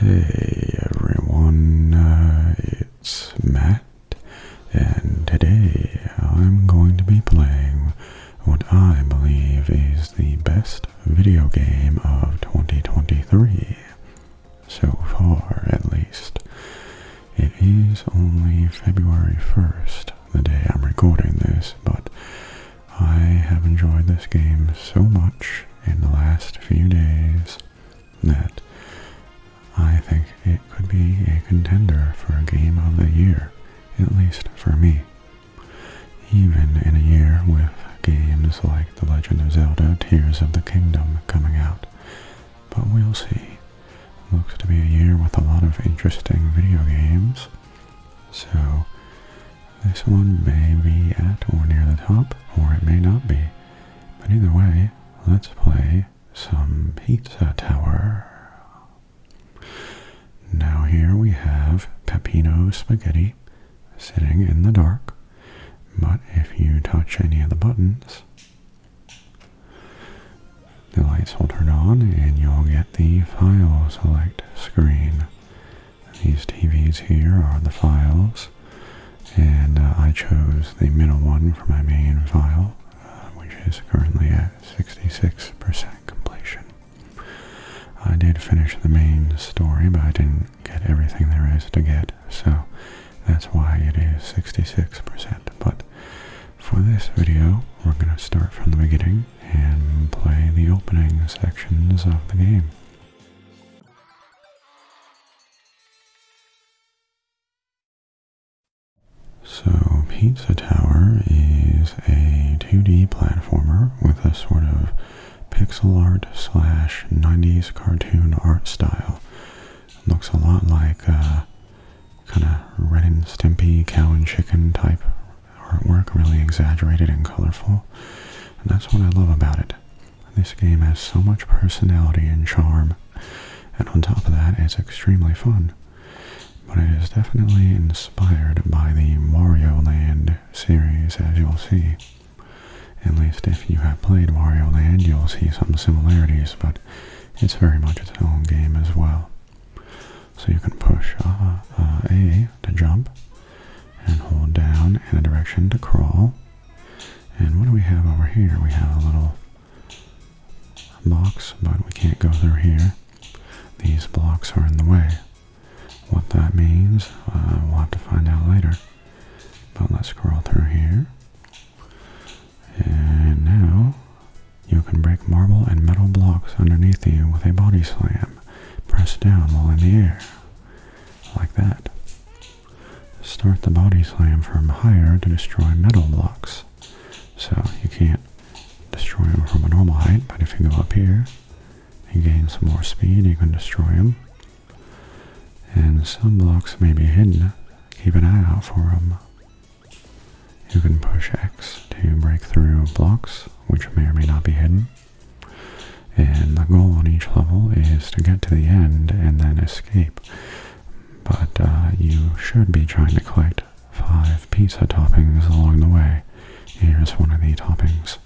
Hey everyone, uh, it's Matt, and today I'm going to be playing what I believe is the best video game of 2023, so far at least. It is only February 1st, the day I'm recording this, but I have enjoyed this game so much in the last few days that I think it could be a contender for a game of the year, at least for me. Even in a year with games like The Legend of Zelda Tears of the Kingdom coming out. But we'll see. Looks to be a year with a lot of interesting video games. So this one may be at or near the top, or it may not be. But either way, let's play some Pizza Tower. Now here we have Peppino Spaghetti sitting in the dark, but if you touch any of the buttons, the lights will turn on and you'll get the file select screen. These TVs here are the files, and uh, I chose the middle one for my main file, uh, which is currently at 66% completion. I did finish the main story, but I didn't get everything there is to get, so that's why it is 66%. But for this video, we're going to start from the beginning and play the opening sections of the game. So, Pizza Tower is a 2D platformer with a sort of pixel art slash 90s cartoon art style. looks a lot like a kind of red and stumpy cow and chicken type artwork really exaggerated and colorful, and that's what I love about it. This game has so much personality and charm, and on top of that, it's extremely fun. But it is definitely inspired by the Mario Land series, as you'll see. At least if you have played Mario Land, you'll see some similarities, but it's very much its own game as well. So you can push uh, uh, A to jump, and hold down in a direction to crawl. And what do we have over here? We have a little box, but we can't go through here. These blocks are in the way. What that means, uh, we'll have to find out later. But let's crawl through here. And now, you can break marble and metal blocks underneath you with a body slam. Press down while in the air like that. Start the body slam from higher to destroy metal blocks. So you can't destroy them from a normal height, but if you go up here and gain some more speed, you can destroy them. And some blocks may be hidden. Keep an eye out for them. You can push X to break through blocks, which may or may not be hidden. And the goal on each level is to get to the end and then escape. But uh, you should be trying to collect five pizza toppings along the way. Here's one of the toppings.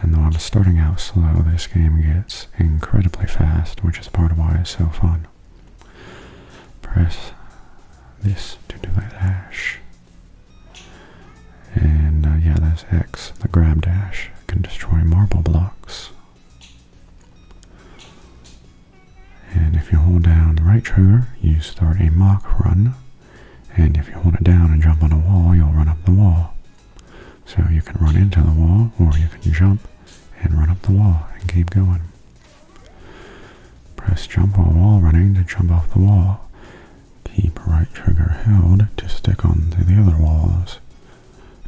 And though I'm starting out slow, this game gets incredibly fast, which is part of why it's so fun. Press this to do that. And uh, yeah, that's X. The grab dash can destroy marble blocks. And if you hold down the right trigger, you start a mock run. And if you hold it down and jump on a wall, you'll run up the wall. So you can run into the wall, or you can jump and run up the wall and keep going. Press jump while wall running to jump off the wall keep right trigger held to stick onto the other walls.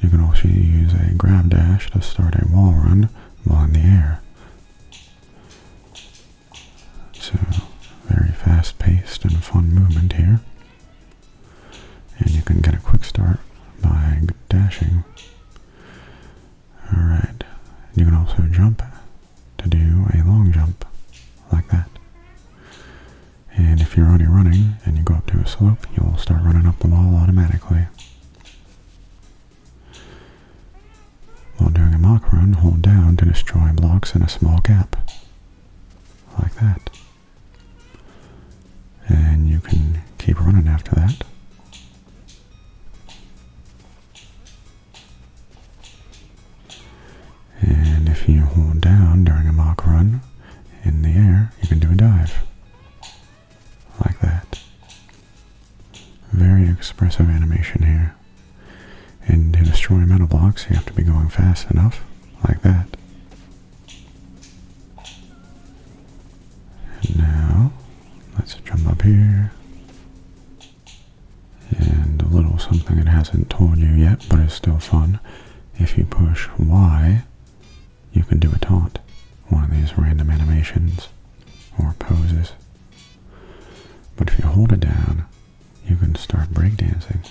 You can also use a grab dash to start a wall run while in the air. So, very fast paced and fun movement here. And you can get a quick start by dashing. Alright, you can also jump to do a long jump like that. And if you're already running and you go up to a slope, you'll start running up the wall automatically. While doing a mock run, hold down to destroy blocks in a small gap. Like that. And you can keep running after that. And if you hold down during a mock run in the air, you can do a dive. Like that. Very expressive animation here. And to destroy metal blocks, you have to be going fast enough, like that. And now, let's jump up here and a little something it hasn't told you yet, but it's still fun. If you push Y, you can do a taunt, one of these random animations or poses. But if you hold it down, you can start breakdancing.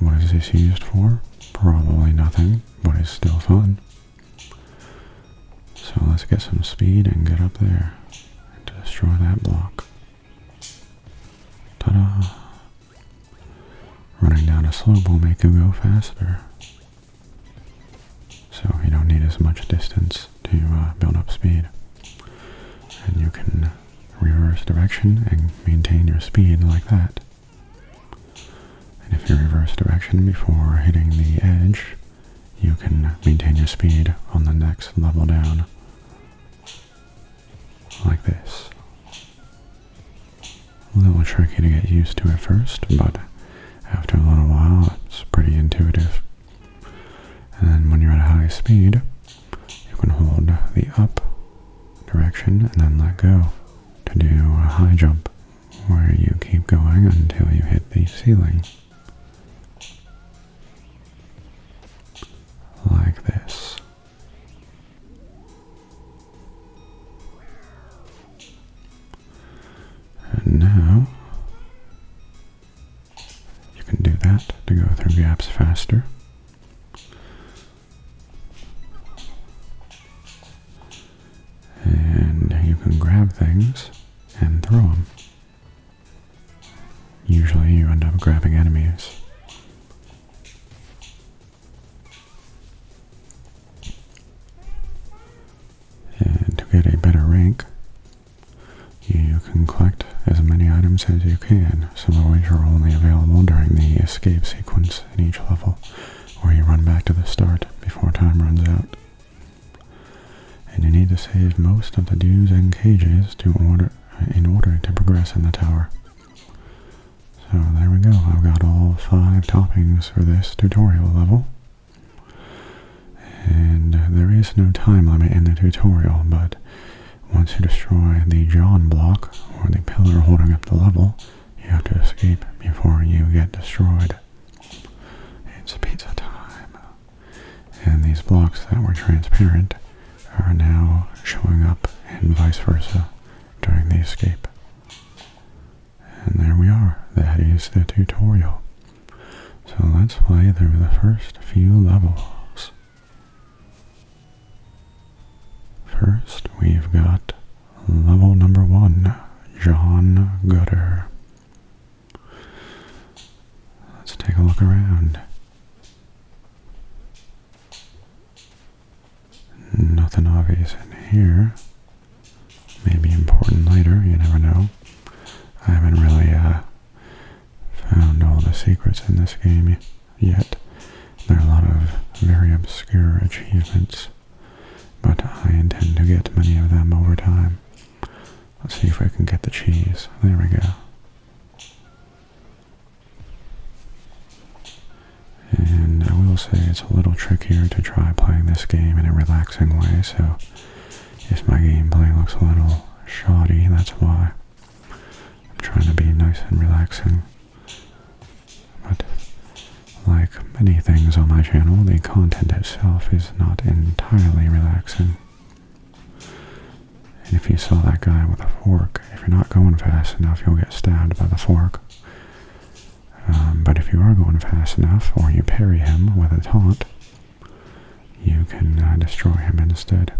What is this used for? Probably nothing, but it's still fun. So let's get some speed and get up there and destroy that block. Ta-da! Running down a slope will make you go faster. So you don't need as much distance to uh, build up speed. And you can reverse direction and maintain your speed like that. And if you reverse direction before hitting the edge, you can maintain your speed on the next level down like this. A little tricky to get used to at first, but after a little while it's pretty intuitive. And when you're at a high speed, you can hold the up direction and then let go to do a high jump where you keep going until you hit the ceiling like this. And now you can do that to go through gaps faster. And you can grab things and throw them. Usually you end up grabbing enemies. And to get a better rank, you can collect as many items as you can, some of which are only available during the escape sequence in each level, or you run back to the start before time runs out. And you need to save most of the dues and cages to order in order to progress in the tower. So there we go, I've got all five toppings for this tutorial level. And uh, there is no time limit in the tutorial, but once you destroy the John block, or the pillar holding up the level, you have to escape before you get destroyed. It's pizza time and these blocks that were transparent are now showing up and vice versa during the escape. And there we are. That is the tutorial. So let's play through the first few levels. First, we've got level number one, John Gutter. Let's take a look around. Nothing obvious in here. Maybe important later, you never know. I haven't really uh, found all the secrets in this game yet. There are a lot of very obscure achievements, but I intend to get many of them over time. Let's see if I can get the cheese. There we go. And I will say it's a little trickier to try playing this game in a relaxing way, so if my gameplay looks a little shoddy, that's why. I'm trying to be nice and relaxing. But like many things on my channel, the content itself is not entirely relaxing. And if you saw that guy with a fork, if you're not going fast enough, you'll get stabbed by the fork. Um, but if you are going fast enough, or you parry him with a taunt, you can uh, destroy him instead.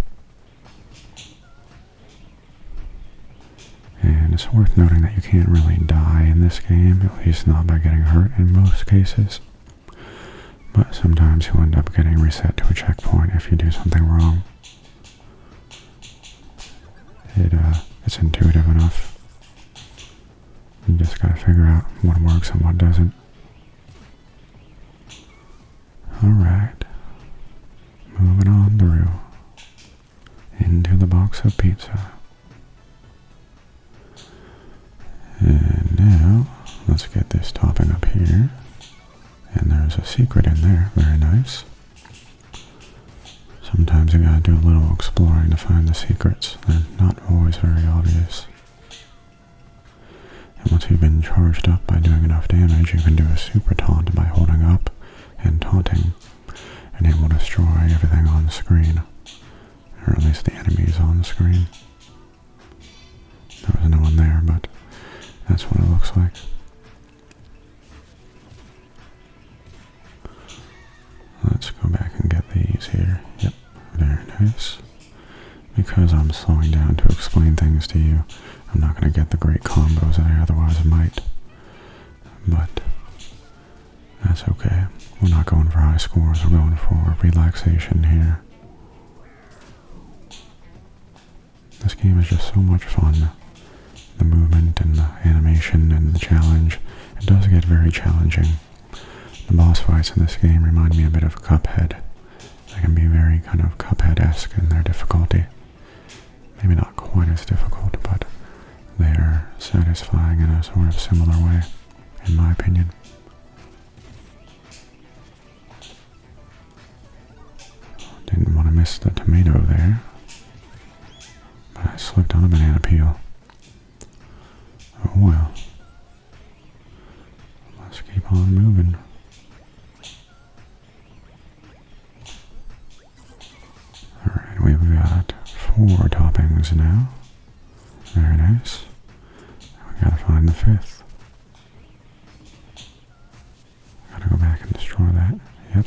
And it's worth noting that you can't really die in this game, at least not by getting hurt in most cases. But sometimes you'll end up getting reset to a checkpoint if you do something wrong. Uh, it's intuitive enough. You just gotta figure out what works and what doesn't. Alright. Moving on through. Into the box of pizza. And now, let's get this topping up here. And there's a secret in there, very nice. Sometimes you gotta do a little exploring to find the secrets. They're not always very obvious. And once you've been charged up by doing enough damage, you can do a super taunt by holding up and taunting, and it will destroy everything on the screen. Or at least the enemies on the screen. There was no one there, but that's what it looks like. Let's go back and get these here. Yep, very nice. Because I'm slowing down to explain things to you, I'm not going to get the great combos that I otherwise might. But that's okay. We're not going for high scores, we're going for relaxation here. This game is just so much fun. The movement and the animation and the challenge. It does get very challenging. The boss fights in this game remind me a bit of Cuphead. They can be very kind of Cuphead-esque in their difficulty. Maybe not quite as difficult, but they're satisfying in a sort of similar way, in my opinion. Didn't want to miss the tomato there. But I slipped on a banana peel. Oh well. Let's keep on moving. Alright, we've got four toppings now. Very nice. We gotta find the fifth. I gotta go back and destroy that. Yep.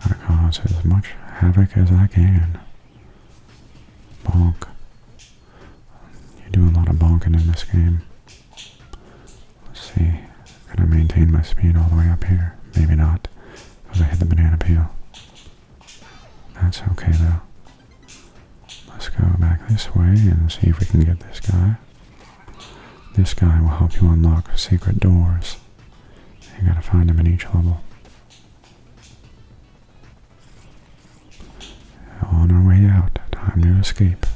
Gotta cause as much havoc as I can. Bonk. You do a lot of bonking in this game. Let's see. Gonna maintain my speed all the way up here? Maybe not. Because I hit the banana peel. That's okay though. Let's go back this way and see if we can get this guy. This guy will help you unlock secret doors. You gotta find them in each level. On our way out, time to escape.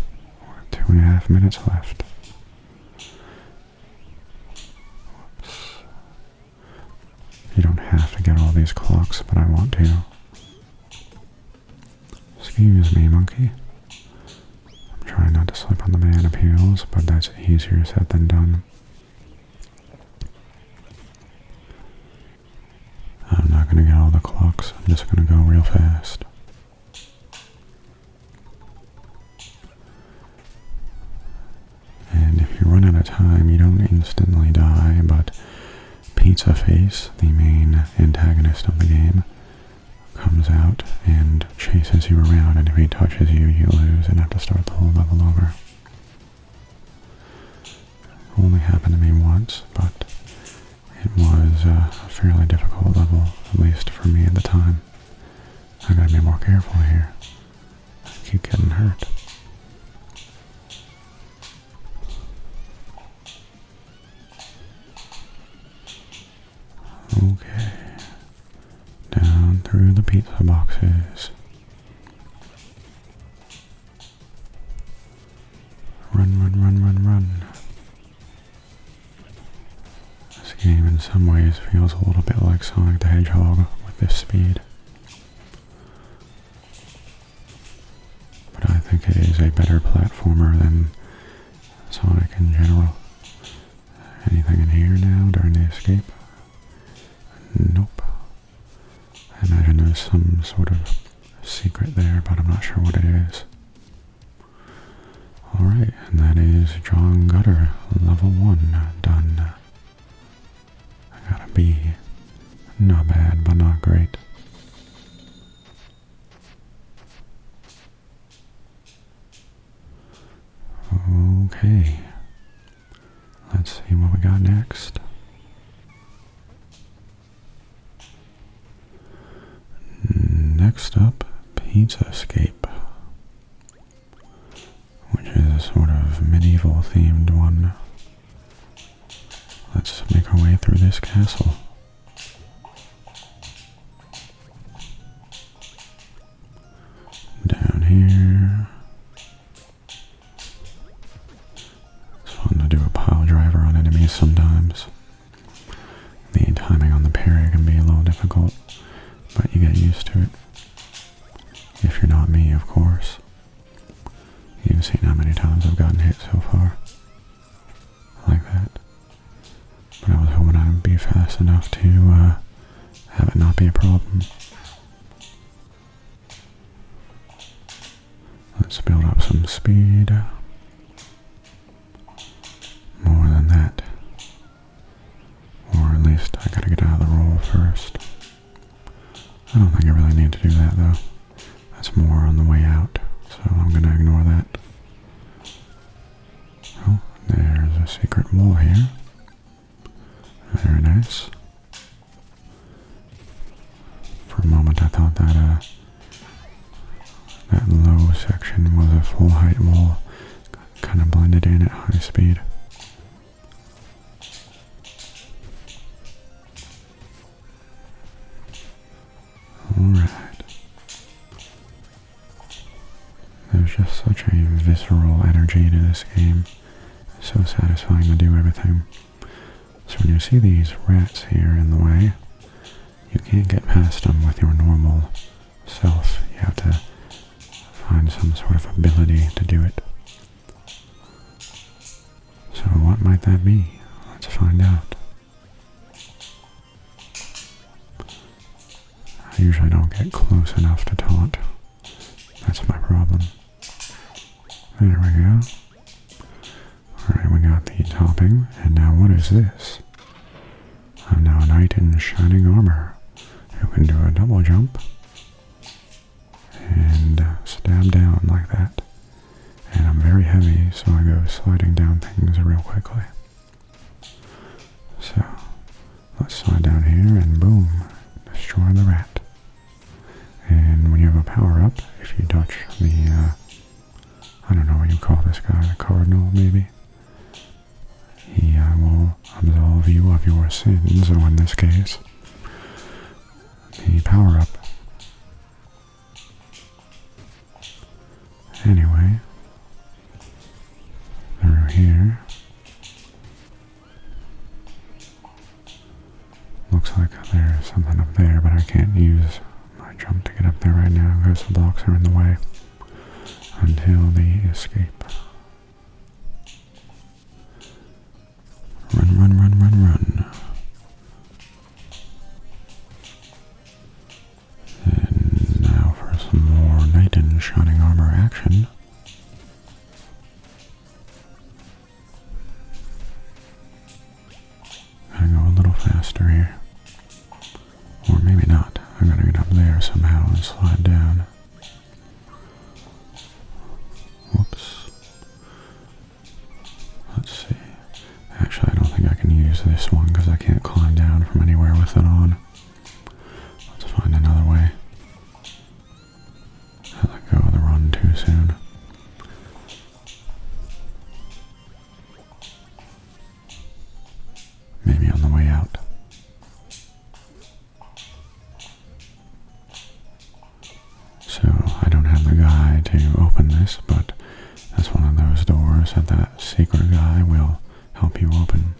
a half minutes left. Whoops. You don't have to get all these clocks, but I want to. Excuse me, monkey. I'm trying not to slip on the man appeals, but that's easier said than done. I'm not gonna get all the clocks, I'm just gonna go real fast. And if you run out of time, you don't instantly die, but Pizza Face, the main antagonist of the game, comes out and chases you around, and if he touches you, you lose and have to start the whole level over. Only happened to me once, but it was a fairly difficult level, at least for me at the time. I gotta be more careful here. I keep getting hurt. Okay, down through the pizza boxes. Run, run, run, run, run. This game in some ways feels a little bit like Sonic the Hedgehog with this speed. But I think it is a better platformer than Sonic in general. Anything in here now during the escape? Nope. I imagine there's some sort of secret there, but I'm not sure what it is. Alright, and that is John Gutter, level 1, done. I got a B. Not bad, but not great. Okay. Let's see what we got next. Next up, Pizza Escape, which is a sort of medieval themed one. Let's make our way through this castle. Down here. It's fun to do a pile driver on enemies sometimes. The timing on the parry can be a little difficult, but you get used to it. If you're not me, of course. You've seen how many times I've gotten hit so far. Like that. But I was hoping I would be fast enough to uh, have it not be a problem. Let's build up some speed. More than that. Or at least I gotta get out of the roll first. I don't think I really need to do that though. That's more on the way out, so I'm going to ignore that. Oh, there's a secret wall here. Very nice. For a moment I thought that uh, that low section was a full height wall. Kind of blended in at high speed. Alright. There's just such a visceral energy to this game. so satisfying to do everything. So when you see these rats here in the way, you can't get past them with your normal self. You have to find some sort of ability to do it. So what might that be? Let's find out. I usually don't get close enough to tell it. That's my problem. There we go. Alright, we got the topping. And now what is this? I'm now a knight in shining armor I can do a double jump and stab down like that and I'm very heavy, so I go sliding down things real quickly. So, let's slide down here and boom, destroy the rat. And when you have a power up, if you touch the, uh, I don't know what you call this guy, the cardinal maybe, he uh, will absolve you of your sins, So in this case, the power up Anyway, through here. Looks like there's something up there, but I can't use my jump to get up there right now because the blocks are in the way until the escape. Run, run, run, run, run. And now for some more knight in shining armor action. Gotta go a little faster here. Or maybe not. I gotta get up there somehow and slide down. Whoops. Let's see. Actually, I don't think I can use this one because I can't climb down from anywhere with it on. Let's find another way. I let go of the run too soon. Maybe on the way out. So I don't have the guy to open this, but that's one of those doors that that secret guy will help you open.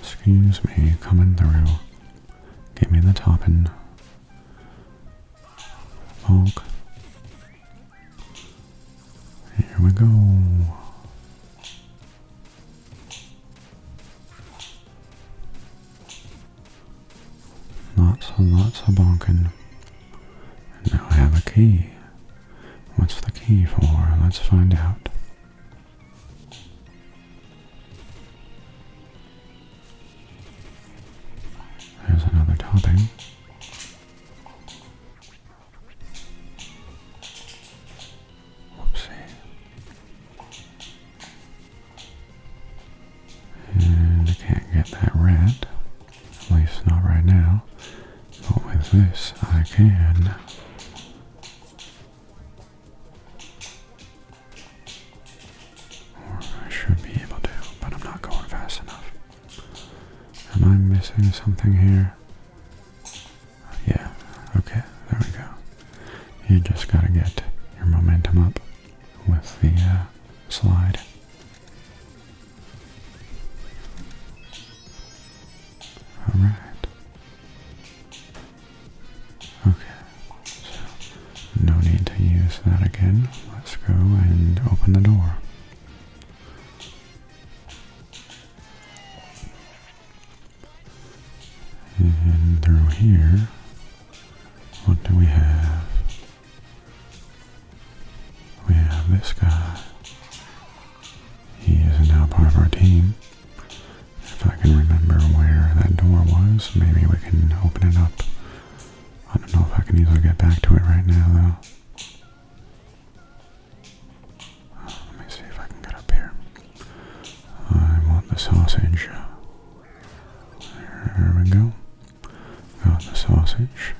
Excuse me, coming through. Get me the topping. Honk. Here we go. Lots and lots of bonking. Now I have a key. What's the key for? Let's find out. There's another topping. Whoopsie. And I can't get that red. At least not right now. But with this I can. Or I should be able to, but I'm not going fast enough. Am I missing something here? Yeah, okay, there we go. You just got to get your momentum up with the uh, slide. All right. Okay, no need to use that again. Let's go and open the door. And through here, what do we have? We have this guy. He is now part of our team. If I can remember where that door was, maybe we can open it up. I don't know if I can easily get back to it right now, though. let me see if I can get up here. I want the sausage. There we go. Got the sausage.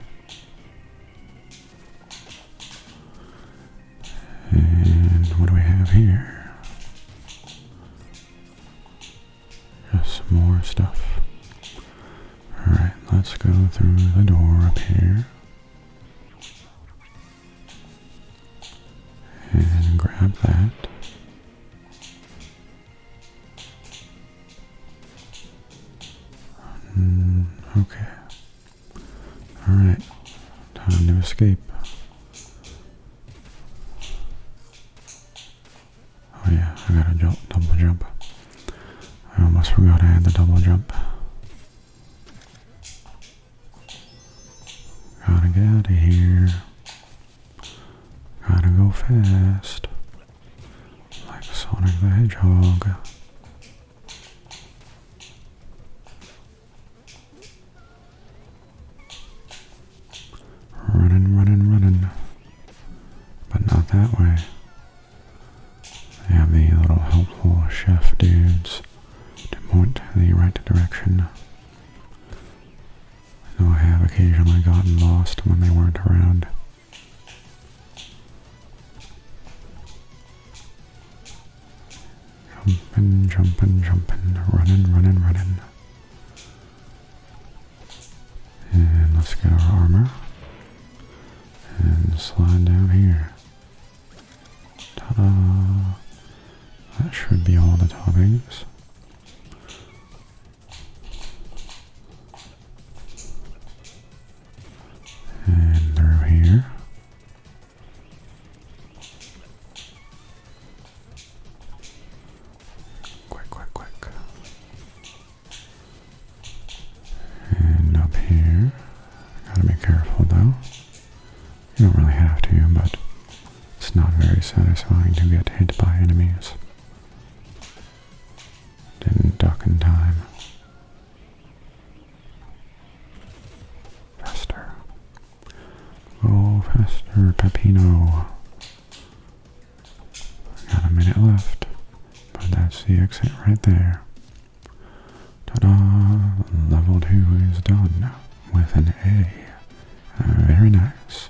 And what do we have here? Just some more stuff. Alright, let's go through the door up here. And grab that. Mm, okay. Alright. Time to escape. Oh yeah, I got a jump, double jump. I almost forgot I had the double jump. Gotta get out of here. Gotta go fast. Like Sonic the Hedgehog. Running, running, running. But not that way. I have the little helpful chef dudes to point the right direction. I I have occasionally gotten lost when they weren't around. Jumping, jumping, jumping, running, running, running. And let's get our armor. And slide down here. Ta-da! That should be all the toppings. And through here. Quick, quick, quick. And up here. Gotta be careful though. You don't really have to, but it's not very satisfying to get hit by enemies. Didn't duck in time. Faster. Go faster, Pepino. Got a minute left, but that's the exit right there. Ta-da! Level 2 is done with an A. Uh, very nice.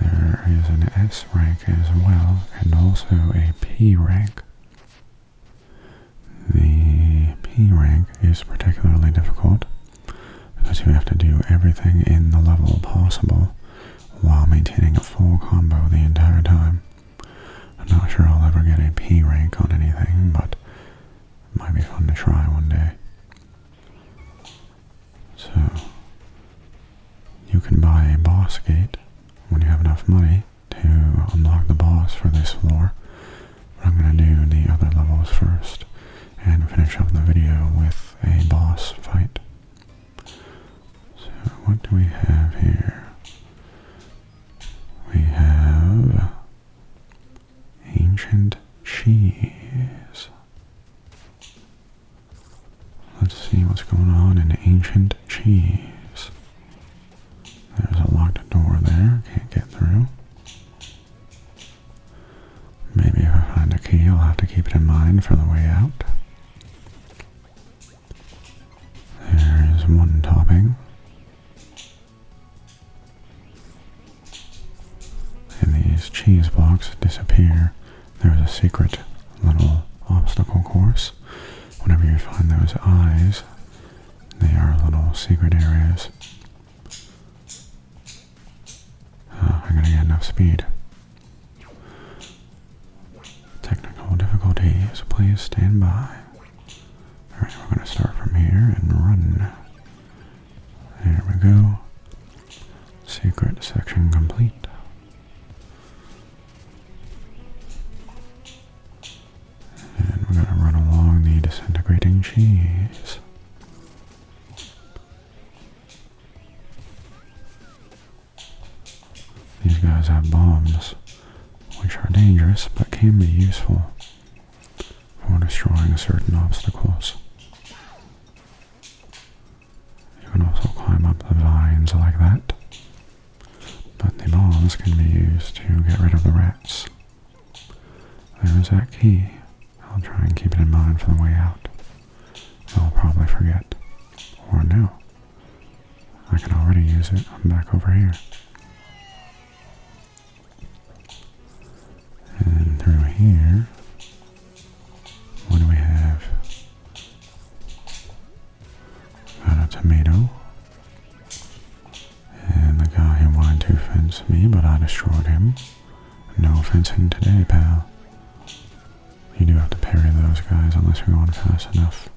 There is an S rank as well, and also a P rank. The P rank is particularly difficult because you have to do everything in the level possible while maintaining a full combo the entire time. I'm not sure I'll ever get a P rank on anything, but might be fun to try one day. So, you can buy a boss gate when you have enough money to unlock the boss for this floor. But I'm going to do the other levels first and finish up the video with a boss fight. So, what do we have here? We have Ancient cheese. Let's see what's going on in ancient cheese. There's a locked door there, can't get through. Maybe if I find a key, I'll have to keep it in mind for the way out. There is one topping. And these cheese blocks disappear. There's a secret little obstacle course. Whenever you find those eyes, they are little secret areas. Ah, I'm gonna get enough speed. Technical difficulties, please stand by. Alright, we're gonna start from here and run. There we go. Secret section complete. And we're gonna run along the disintegrating cheese. These guys have bombs, which are dangerous but can be useful for destroying certain obstacles. You can also climb up the vines like that, but the bombs can be used to get rid of the rats. There is that key. I'll try and keep it in mind for the way out. I'll probably forget. Or no. I can already use it. I'm back over here. And through here, what do we have? Got a tomato. And the guy who wanted to fence me, but I destroyed him. No fencing today, pal. You do have to parry those guys unless you're going fast enough.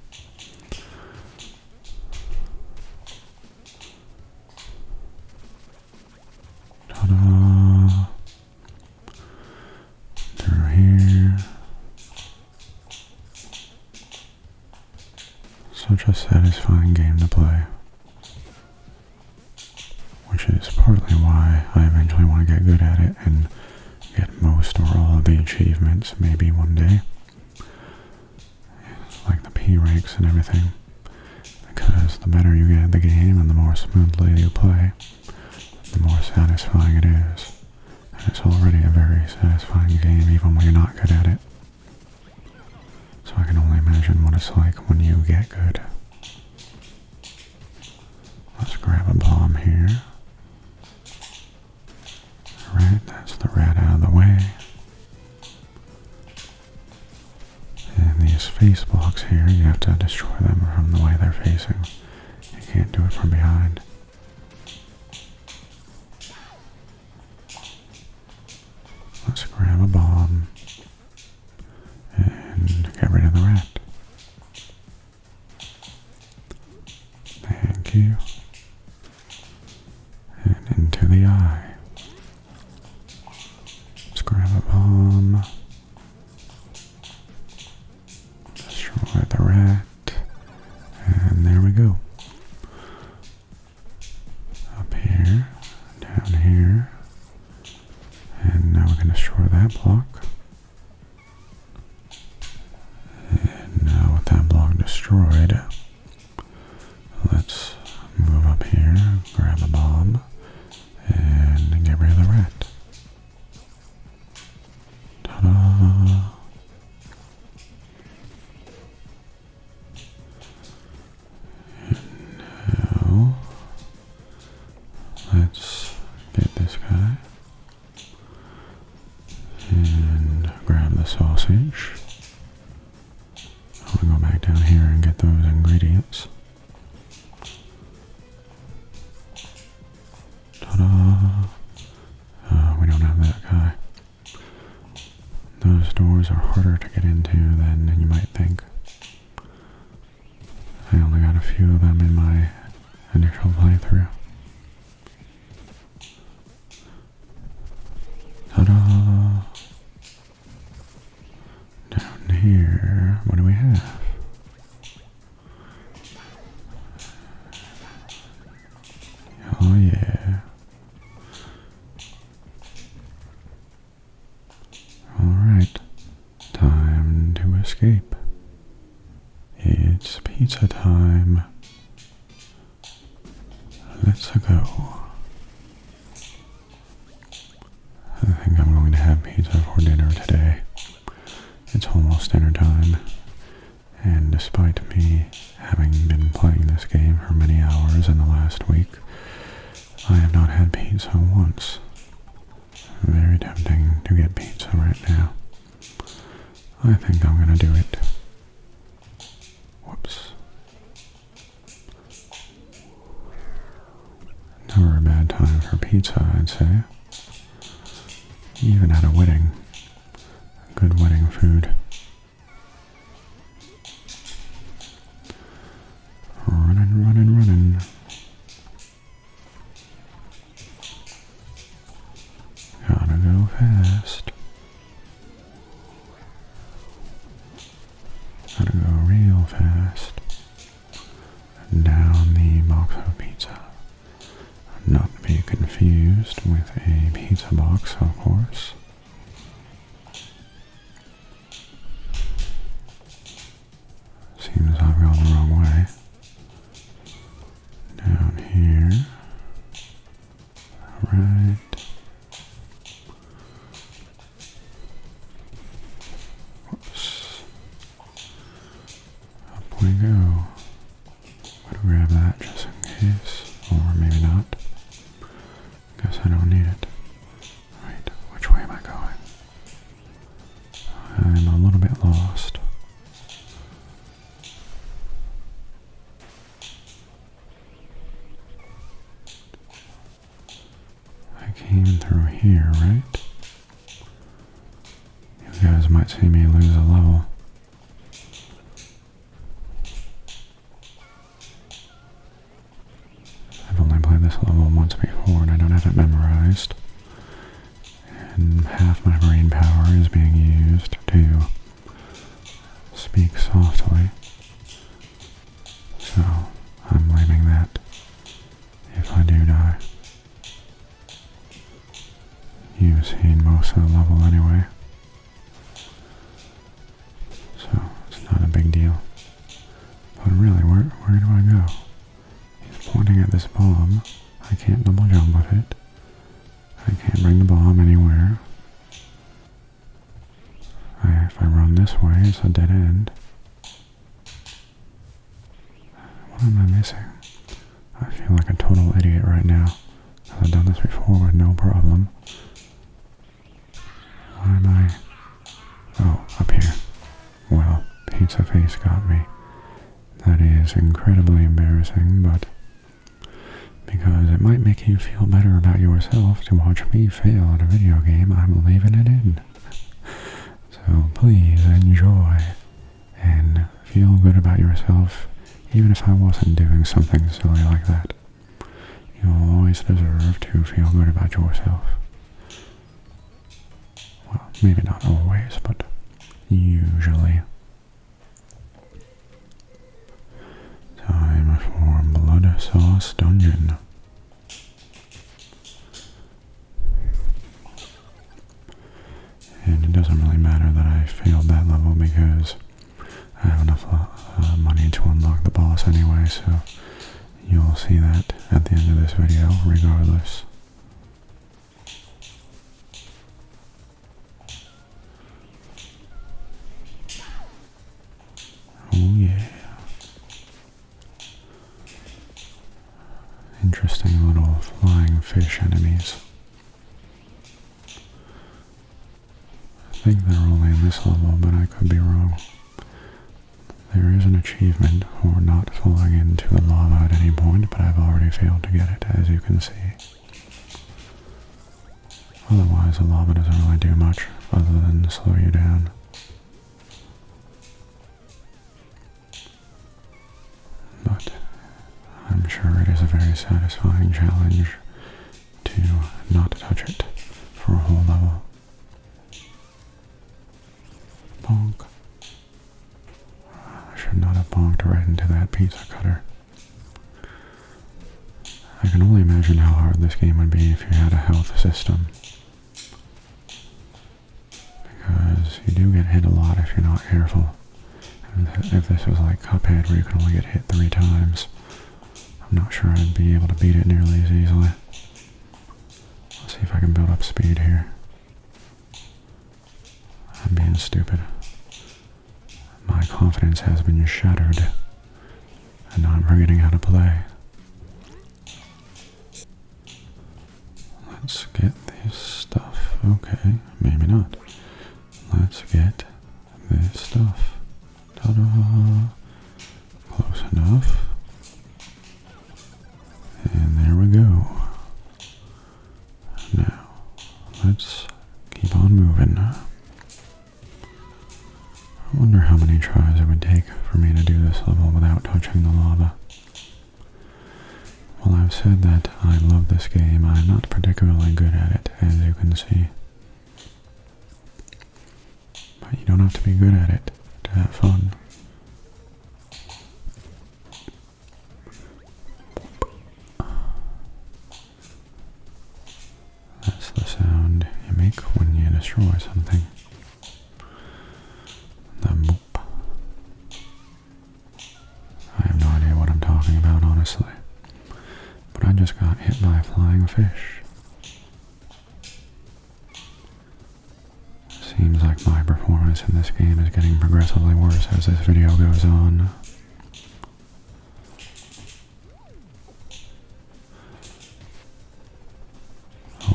Ta-da! Through here. Such a satisfying game to play. Which is partly why I eventually want to get good at it and get most or all of the achievements maybe one day like the P ranks and everything. Because the better you get at the game and the more smoothly you play, the more satisfying it is. And it's already a very satisfying game even when you're not good at it. So I can only imagine what it's like when you get good. Let's grab a bomb here. Alright, that's the rat out of the way. And these face blocks here, you have to destroy them from the way they're facing. You can't do it from behind. Let's grab a bomb and get rid of the rat. Thank you. And into the eye. Let's grab a bomb. Destroy the rat. And there we go. Up here, down here. And now we're going to destroy that block. And now with that block destroyed, Let's move up here, grab a bomb, and get rid of the rat. Ta-da! Now, let's get this guy and grab the sausage. I'm gonna go back down here and get those ingredients. Ta-da! Ah, we don't have that guy. Those doors are harder to get into than you might think. I only got a few of them in my initial playthrough. Ta-da! Down here, what do we have? Oh yeah. Alright, time to escape. It's pizza time. Let's go. I think I'm going to have pizza for dinner today. It's almost dinner time, and despite me having been playing this game for many hours in the last week, I have not had pizza once. Very tempting to get pizza right now. I think I'm gonna do it. Whoops. Never a bad time for pizza, I'd say. Even at a wedding. Good wedding food. Running, running, running. Gotta go fast. Gotta go real fast down the box of Pizza. Not be confused with a pizza box, of course. Seems I've gone the wrong way. Down here. Right. Up we go. grab that just in case, or maybe not. Guess I don't need it. Right, which way am I going? I'm a little bit lost. I came through here, right? You guys might see me lose a level. I've only played this level once before and I don't have it memorized. And half my brain power is being used to speak softly so I'm blaming that if I do die. You've seen most of the level anyway. So it's not a big deal. But really, where where do I go? He's pointing at this bomb. I can't double jump with it. I can't bring the bomb anywhere. If I run this way, it's a dead end. What am I missing? I feel like a total idiot right now. I've done this before with no problem. Why am I... Oh, up here. Well, Pizza Face got me. That is incredibly embarrassing, but... Because it might make you feel better about yourself to watch me fail at a video game, I'm leaving it in. So please enjoy and feel good about yourself, even if I wasn't doing something silly like that. You'll always deserve to feel good about yourself. Well, maybe not always, but usually. Time for Blood Sauce Dungeon. And it doesn't really matter that I failed that level because I have enough uh, money to unlock the boss anyway, so you'll see that at the end of this video regardless. Oh yeah. Interesting little flying fish enemies. I think they're only in this level, but I could be wrong. There is an achievement for not falling into the lava at any point, but I've already failed to get it, as you can see. Otherwise, the lava doesn't really do much other than slow you down. But I'm sure it is a very satisfying challenge to not touch it for a whole level. Bonk. I should not have bonked right into that pizza cutter. I can only imagine how hard this game would be if you had a health system. Because you do get hit a lot if you're not careful. if this was like Cuphead where you can only get hit three times, I'm not sure I'd be able to beat it nearly as easily. Let's see if I can build up speed here. I'm being stupid. My confidence has been shattered and now I'm forgetting how to play. Let's get this stuff. Okay, maybe not. Let's get this stuff. Ta-da! Close enough. And there we go. Now, let's keep on moving. I wonder how many tries it would take for me to do this level without touching the lava. Well, I've said that I love this game. I'm not particularly good at it, as you can see. But you don't have to be good at it to have fun. That's the sound you make when you destroy something. The boop. I have no idea what I'm talking about, honestly. But I just got hit by a flying fish. Seems like my performance in this game is getting progressively worse as this video goes on.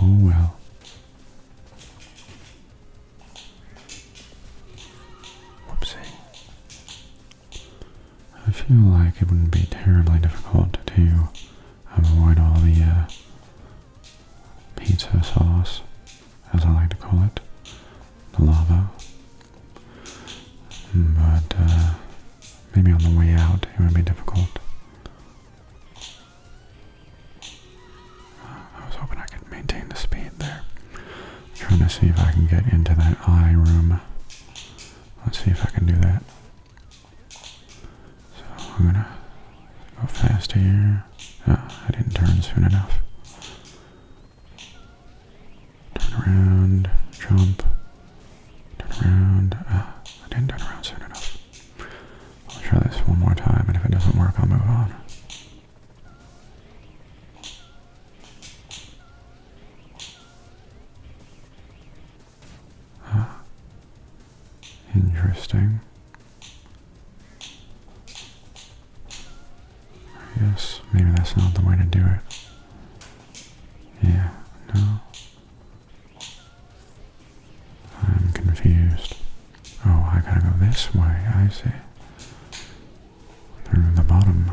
Oh well. Whoopsie. I feel like it wouldn't be terribly difficult to avoid all the uh, pizza sauce, as I like to call it, the lava. But uh, Maybe on the way out it would be difficult. I was hoping I could maintain the speed there. trying to see if I can get into that eye room. Let's see if I can do that. So I'm gonna go fast here. Ah, I didn't turn soon enough. Turn around, jump. Turn around. Uh, I didn't turn around soon enough. I'll try this one more time, and if it doesn't work, I'll move on. interesting. I guess maybe that's not the way to do it. Yeah, no. I'm confused. Oh, I gotta go this way, I see. Through the bottom.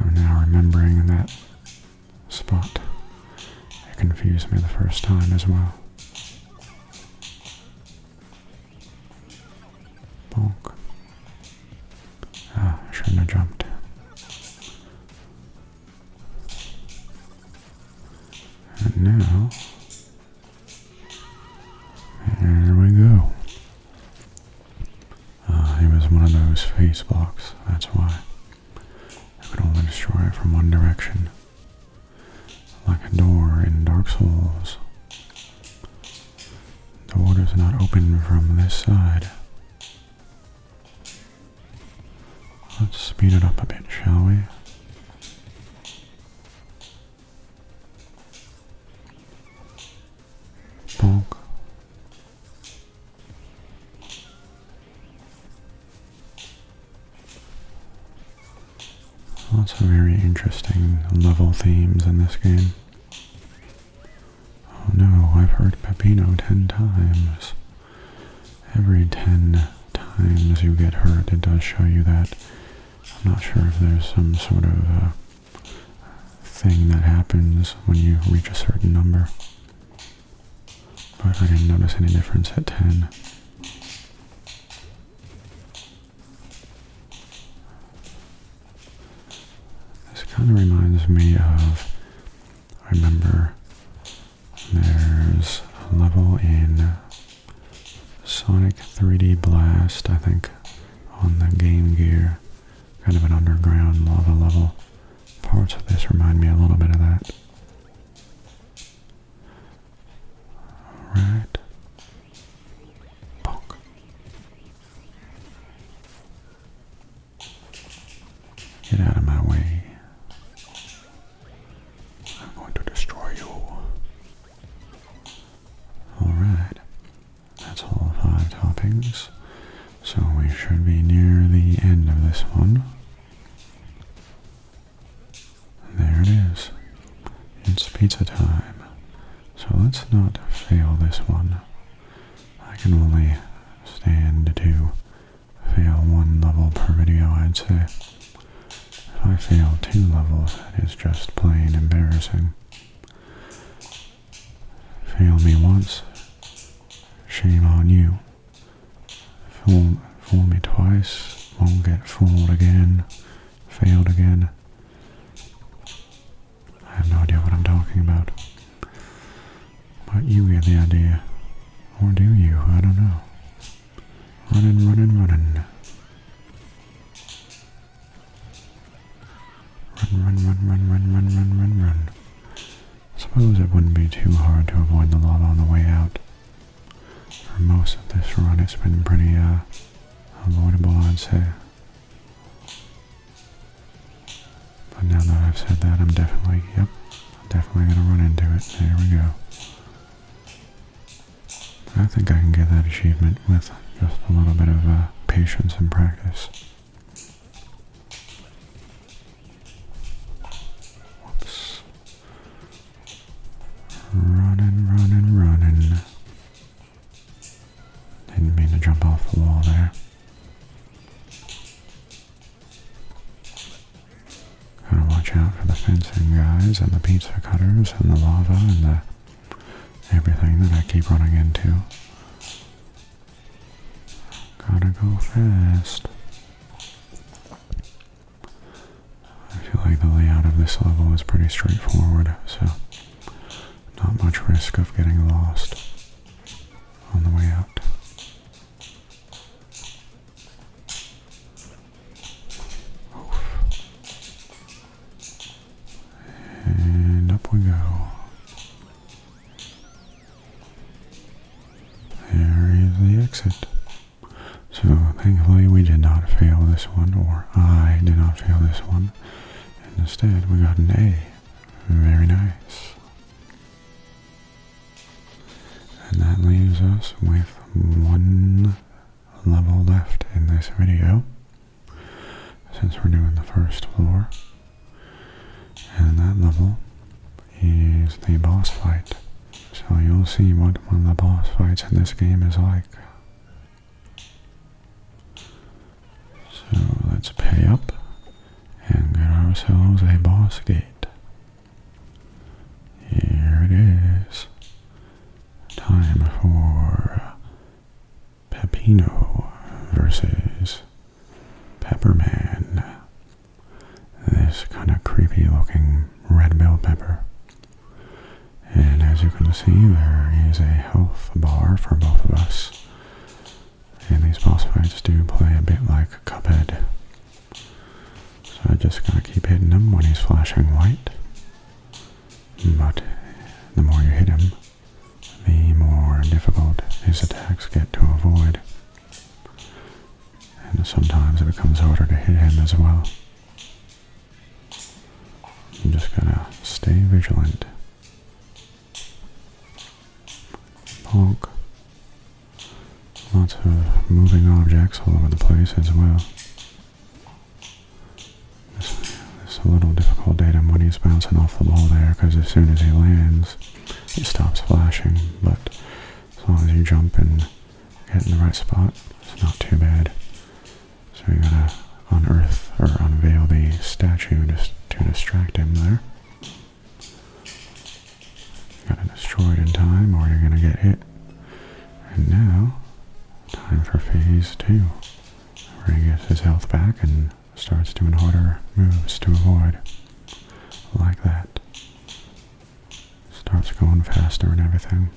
I'm now remembering that spot. It confused me the first time as well. Bonk. Ah, shouldn't have jumped. And now, here we go. Uh, ah, it was one of those face blocks, that's why. I could only destroy it from one direction. Like a door in Dark Souls. The door is not open from this side. Let's speed it up a bit, shall we? Bulk. Lots of very interesting level themes in this game. Oh no, I've heard Peppino ten times. Every ten times you get hurt, it does show you that. I'm not sure if there's some sort of uh, thing that happens when you reach a certain number. But I didn't notice any difference at 10. This kind of reminds me of, I remember there's a level in Sonic 3D Blast, I think, on the Game Gear, kind of an underground lava level. Parts of this remind me a little bit of that. Alright. Get out of my way. I'm going to destroy you. Alright. That's all five toppings. So we should be near the end of this one. There it is. It's pizza time. So let's not fail this one. I can only stand to fail one level per video, I'd say. If I fail two levels, that is just plain embarrassing. Fail me once, shame on you. Fool, fool me twice, won't get fooled again, failed again. I have no idea what I'm talking about. But you get the idea. Or do you? I don't know. Running, running, running. Run, run, run, run, run, run, run, run, run. Suppose it wouldn't be too hard to avoid the lot on the way out. For most of this run, it's been pretty, uh, avoidable, I'd say. But now that I've said that, I'm definitely, yep, definitely gonna run into it. There we go. I think I can get that achievement with just a little bit of uh, patience and practice. Whoops. Running, running, running. Didn't mean to jump off the wall there. Gotta watch out for the fencing guys and the pizza cutters and the lava and the everything that I keep running into. Gotta go fast. I feel like the layout of this level is pretty straightforward, so not much risk of getting lost on the way out. And up we go. There is the exit. So thankfully we did not fail this one, or I did not fail this one. instead we got an A. Very nice. And that leaves us with one level left in this video, since we're doing the first floor. And that level is the boss fight. So you'll see what one of the boss fights in this game is like. So let's pay up and get ourselves a boss gate. Here it is. Time for Peppino versus Pepperman. This kind of creepy looking red bell pepper. And as you can see, there is a health bar for both of us. And these boss fights do play a bit like Cuphead. So I just gotta keep hitting him when he's flashing white. But the more you hit him, the more difficult his attacks get to avoid. And sometimes it becomes harder to hit him as well. You just going to stay vigilant. Bonk. Lots of moving objects all over the place as well. It's, a little difficult datum when he's bouncing off the ball there, because as soon as he lands, it stops flashing, but as long as you jump and get in the right spot, it's not too bad. So you gotta unearth or unveil the statue to, to distract him there. You're gonna destroy it in time or you're gonna get hit. And now, time for phase two. Where he gets his health back and starts doing harder moves to avoid. Like that. Starts going faster and everything.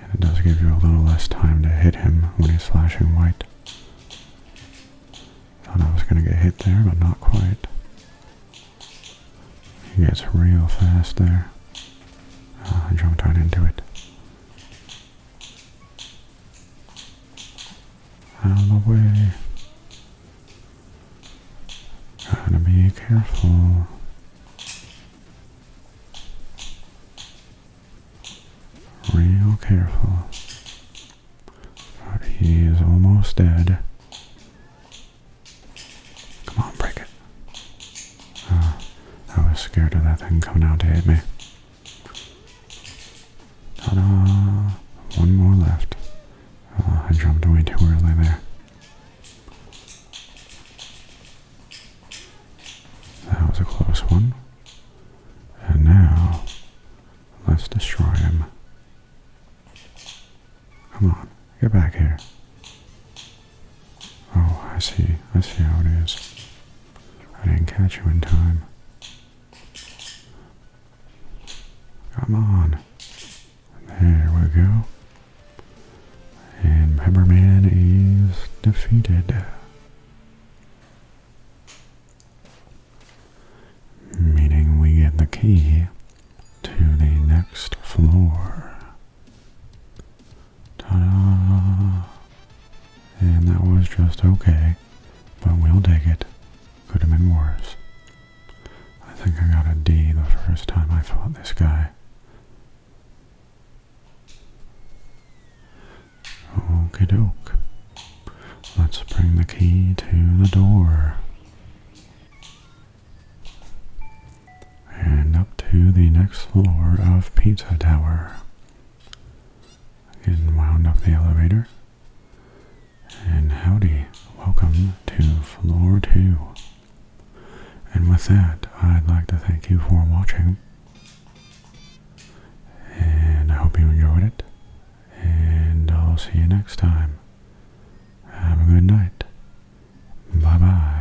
And it does give you a little less time to hit him when he's flashing white. Thought I was gonna get hit there, but not quite. He gets real fast there. Oh, I jumped right into it. Out of the way. Gotta be careful. Real careful. But he is almost dead. Come on, break it. Ah, I was scared of that thing coming out to hit me. One more left. Ah, I jumped away too early there. That was a close one. And now Let's destroy him. Come on, get back here. Oh, I see. I see how it is. I didn't catch you in time. Come on. There we go. And Pepperman is defeated. Meaning we get the key to the next floor. Ta-da! And that was just okay, but we'll take it. Could have been worse. I think I got a D the first time I fought this guy. Okie doke. Let's bring the key to the door. And up to the next floor of Pizza Tower. Again, wound up the elevator. And howdy, welcome to floor two. And with that, I'd like to thank you for watching. And I hope you enjoyed it. And I'll see you next time. Have a good night. Bye bye.